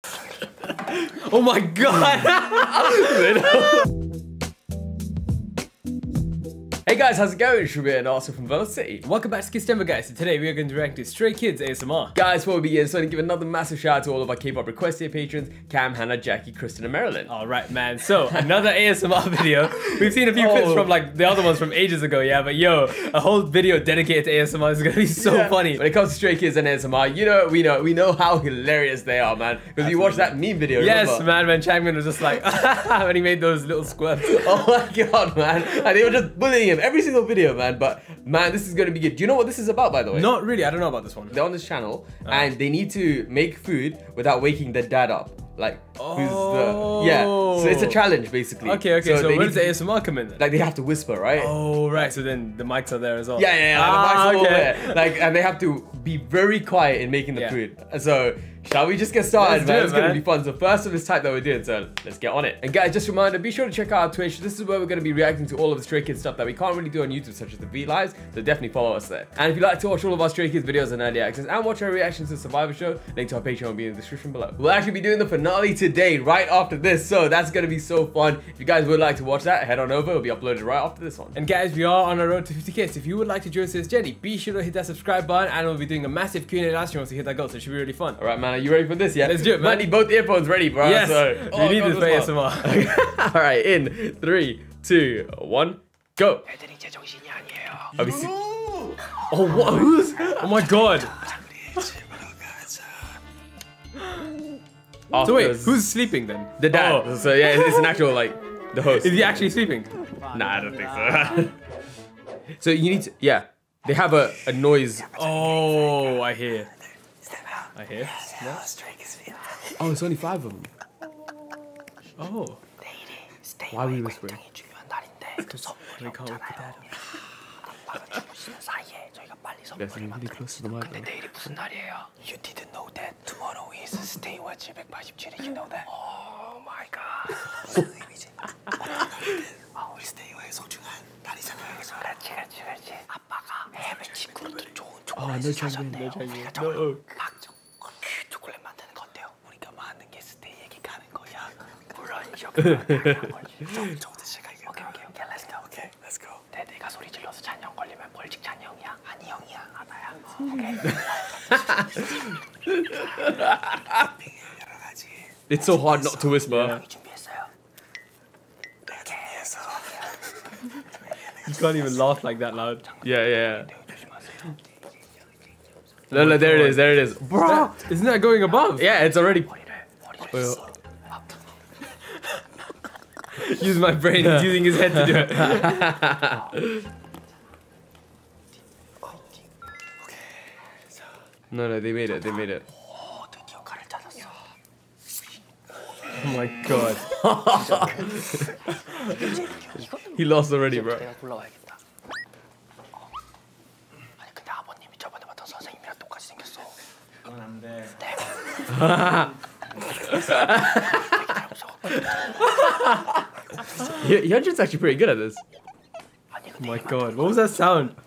oh my god! hey guys, how's it going? It's and Arthur from Velocity. Welcome back to Kiss Denver guys, and today we are going to react to Stray Kids ASMR. Guys, before we begin, so I want to give another massive shout out to all of our K-pop request here patrons, Cam, Hannah, Jackie, Kristen, and Marilyn. Alright man, so another ASMR video. We've seen a few clips oh. from like the other ones from ages ago, yeah, but yo, a whole video dedicated to ASMR is gonna be so funny. When it comes loves is an SMR. You know, we know, we know how hilarious they are, man. Because you watched that meme video. Yes, man. When Changmin was just like, and he made those little squirts. Oh my god, man! And they were just bullying him every single video, man. But man, this is gonna be good. Do you know what this is about, by the way? Not really. I don't know about this one. They're on this channel, ah. and they need to make food without waking their dad up. Like, oh. yeah? So it's a oh. challenge basically. Okay, okay. So, so where's the SMR come in? Like they have to whisper, right? Oh right, so then the mics are there as well. Yeah, yeah, yeah the ah, mics okay. are there. Like and they have to be very quiet in making the food. So Shall we just get started, man? it's gonna be fun. So first of this type that we're doing, so let's get on it. And guys, just a reminder, be sure to check out our Twitch. This is where we're gonna be reacting to all of the Stray Kids stuff that we can't really do on YouTube, such as the V-Lives, so definitely follow us there. And if you like to watch all of our Stray Kids videos and early access and watch our reactions to Survivor Show, link to our Patreon will be in the description below. We'll actually be doing the finale today, right after this, so that's gonna be so fun. If you guys would like to watch that, head on over. It'll be uploaded right after this one. And guys, we are on our road to 50k. So if you would like to join us as Jenny, be sure to hit that subscribe button and we'll be doing a massive Q&A live stream once we hit that goal. So it should be really fun. All right, man. Are you ready for this? Yeah. Let's do it, man. need both earphones ready, bro. Yes. So, oh, we need God, this for ASMR. All right. In three, two, one, go. Oh, oh my God. So wait, who's sleeping then? The dad. Oh. So yeah, it's an actual like the host. Is he actually sleeping? Nah, I don't think so. so you need to yeah. They have a, a noise. Oh, I hear. I hear. No? Oh, it's only five of them. Oh. Why are we whispering? they can't look 빨리 선물을 만들어. 근데 내일이 무슨 날이에요? You didn't know that. Tomorrow is stay what 787. You know that? Oh my god. 무슨 의미지? 아, 우리 스테이와의 소중한 날이잖아요. 그렇지, 그렇지, 그렇지. 아빠가 해외 친구로도 좋은 아, 초콜릿을 사셨네요. 우리가 정말 박정 어. 그 초콜릿 만드는 건데요. 우리가 많은 게 스테이에게 가는 거야. 물론 이렇게 만드는 거지. 저, 저 드실까요? 오케이, 오케이, 오케이. Let's go. 오케이. Okay, let's go. 내, 내가 소리 질러서 찬영 걸리면 벌칙 찬영이야? 아니 형이야. 아 나야. 어, 오케이. 여러 가지. It's so hard not to whisper. 준비했어요. 내가 준비했어. You can't even laugh like that loud. Yeah, yeah. No, no, there it is, there it is. Bro, isn't that going above? Yeah, it's already. Use my brain. using his head to do it. No, no, they made it. They made it. Oh my god. he lost already, bro when i actually pretty good at this. Oh my god, what was that sound?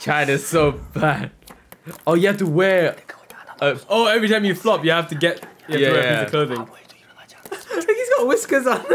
China's so bad. Oh, you have to wear. Uh, oh, every time you flop, you have to get. yeah. He's got whiskers on.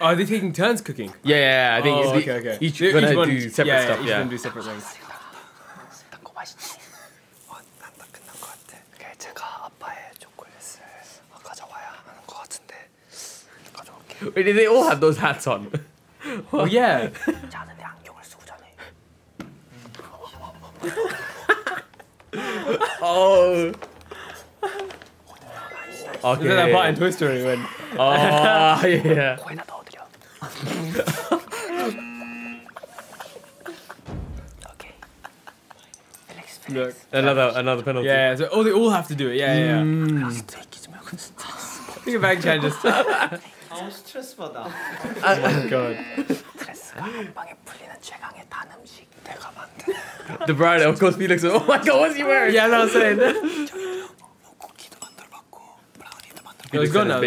Oh, are they taking turns cooking? Yeah, yeah, I think oh, okay, okay. each, each gonna one, do separate yeah, stuff. Yeah, they all have those hats on? Oh yeah. oh. Okay. Isn't that part in Toy Story when? Oh Look, another another penalty. Yeah, so, oh, they all have to do it. Yeah, yeah. Mm. I was that. Oh my god. the bride, of course, Felix. Oh my god, what's he wearing? Yeah, I no, saying. 뭐 쿠키도 만들어봤고 now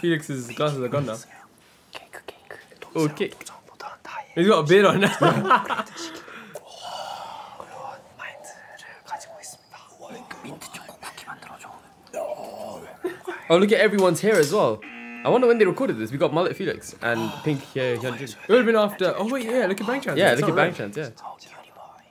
Felix's glasses are gone now. 케이크 케이크. Okay. 나의 He's got a beard on. 그런 Oh, look at everyone's hair as well. I wonder when they recorded this. We got Mullet Felix and Pink here. Hyunjin. It would have been after. Oh wait, yeah. Look at Bang Chance. Yeah, look at Bang Chance. Yeah.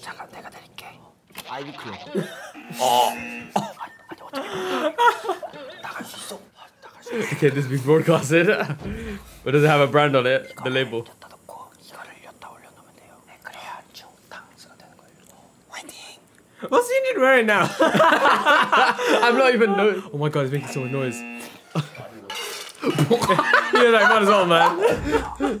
잠깐 내가 드릴게. 아이비 클럽. 어. 아니, 아니 어떻게 나갈 수 있어? Okay, this be broadcasted. But does it have a brand on it? The label. What's he need wearing now? I'm not even Oh my god, he's making so much noise. yeah, like might as well, man.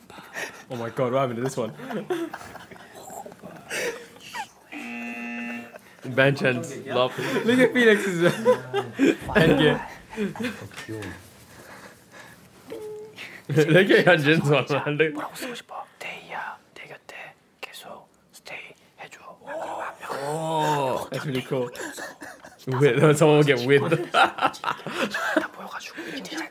Oh my god, what happened to this one? Vengeance, love. Look at Phoenix's endgame. Look at 현진's one, man. Look. 뭐라고 쓰고 싶어? 데이야, 내 곁에 that's really cool. Weird. Someone will get weird. 다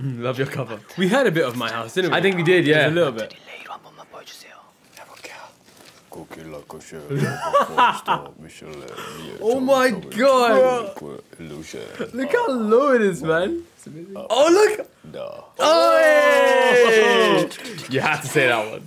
love your cover. We had a bit of my house, didn't we? I think we did, yeah. a little bit. oh my god! Look how low it is, man. Oh, look! No. Oh, hey! you had to say that one.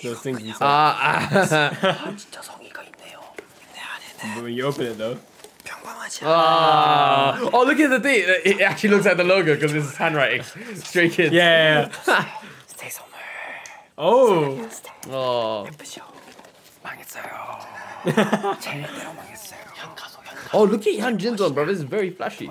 you open it though. Oh. look at the thing. It actually looks like the logo because it's handwriting. Straight Kids. Yeah. Stay somewhere. oh. Oh. oh, look at Yan Jin's one, bro. This is very flashy.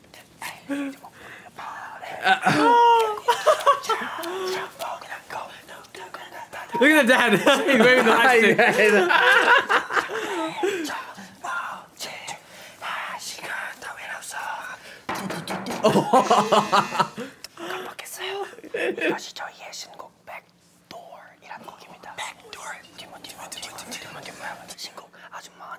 Look at the dad. He's waving the lightstick. oh. 깜빡했어요. 이것이 저희의 신곡 백도어라는 곡입니다. 백도어. 뒷문 뒷문 뒷문 뒷문 뒷문 뒷문 신곡 아줌마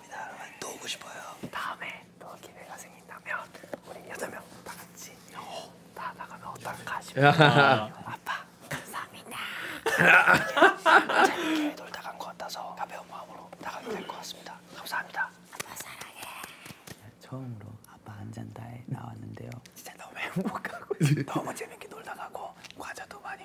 감사합니다 여러분 또 오고 싶어요 다음에 또 기회가 생긴다면 우리 여덟 명다 같이 다 나가면 어떨까 싶어요 아빠 감사합니다 재밌게 놀다 간 것 같아서 가벼운 마음으로 나가도 될것 같습니다 감사합니다 아빠 사랑해 네, 처음으로 아빠 한잔 다해 나왔는데요 진짜 너무 행복하고 너무 재밌게 놀다 가고 과자도 많이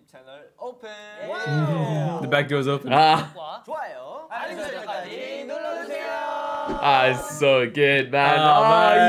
The back doors open. Ah. ah, it's so good, man. Ah,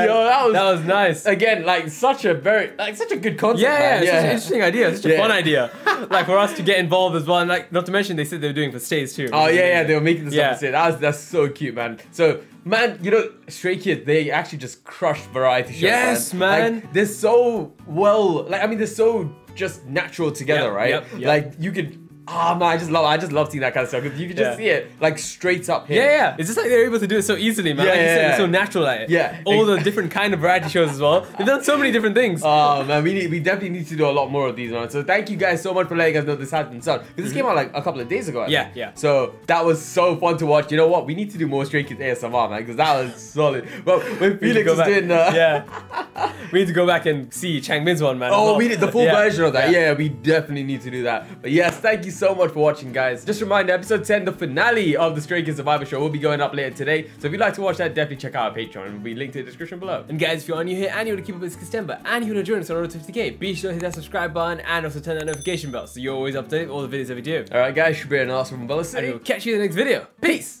ah, that was, nice. again like such a very like such a good concept. Yeah, yeah, it's an interesting idea. Such a fun idea. like for us to get involved as well, like not to mention they said they were doing for stays too. Oh yeah, yeah, they were making this Yeah. up. that's so cute, man. So, man, you know, Stray Kids, they actually just crushed variety shows. Yes, man. they're so well, like I mean, they're so just natural together, right? Like you could. Ah oh, man, I just love I just love seeing that kind of stuff because you can just see it like straight up here. Yeah, yeah. It's just like they're able to do it so easily, man. Yeah, like yeah, so natural like Yeah. All the different kind of variety shows as well. They've done so many different things. Oh man, we need, we definitely need to do a lot more of these, man. So thank you guys so much for letting us know this has been done. Because this mm-hmm. came out like a couple of days ago. yeah, yeah. So that was so fun to watch. You know what? We need to do more Stray Kids ASMR, man, because that was solid. But Felix was doing that. Uh, yeah. we need to go back and see Chang one, man. Oh, we need the full version of that. Yeah. we definitely need to do that. But yes, thank you so much for watching, guys. Just remind reminder, episode 10, the finale of the Stray Kids Survivor Show, will be going up later today. So if you'd like to watch that, definitely check out our Patreon. We will be linked in the description below. And guys, if you are new here and you want to keep up with Kistemba and you want to join us on our 50k, be sure to hit that subscribe button and also turn that notification bell so you're always updated all the videos that we do. Alright guys, should be an awesome one. City. And we'll catch you in the next video. Peace!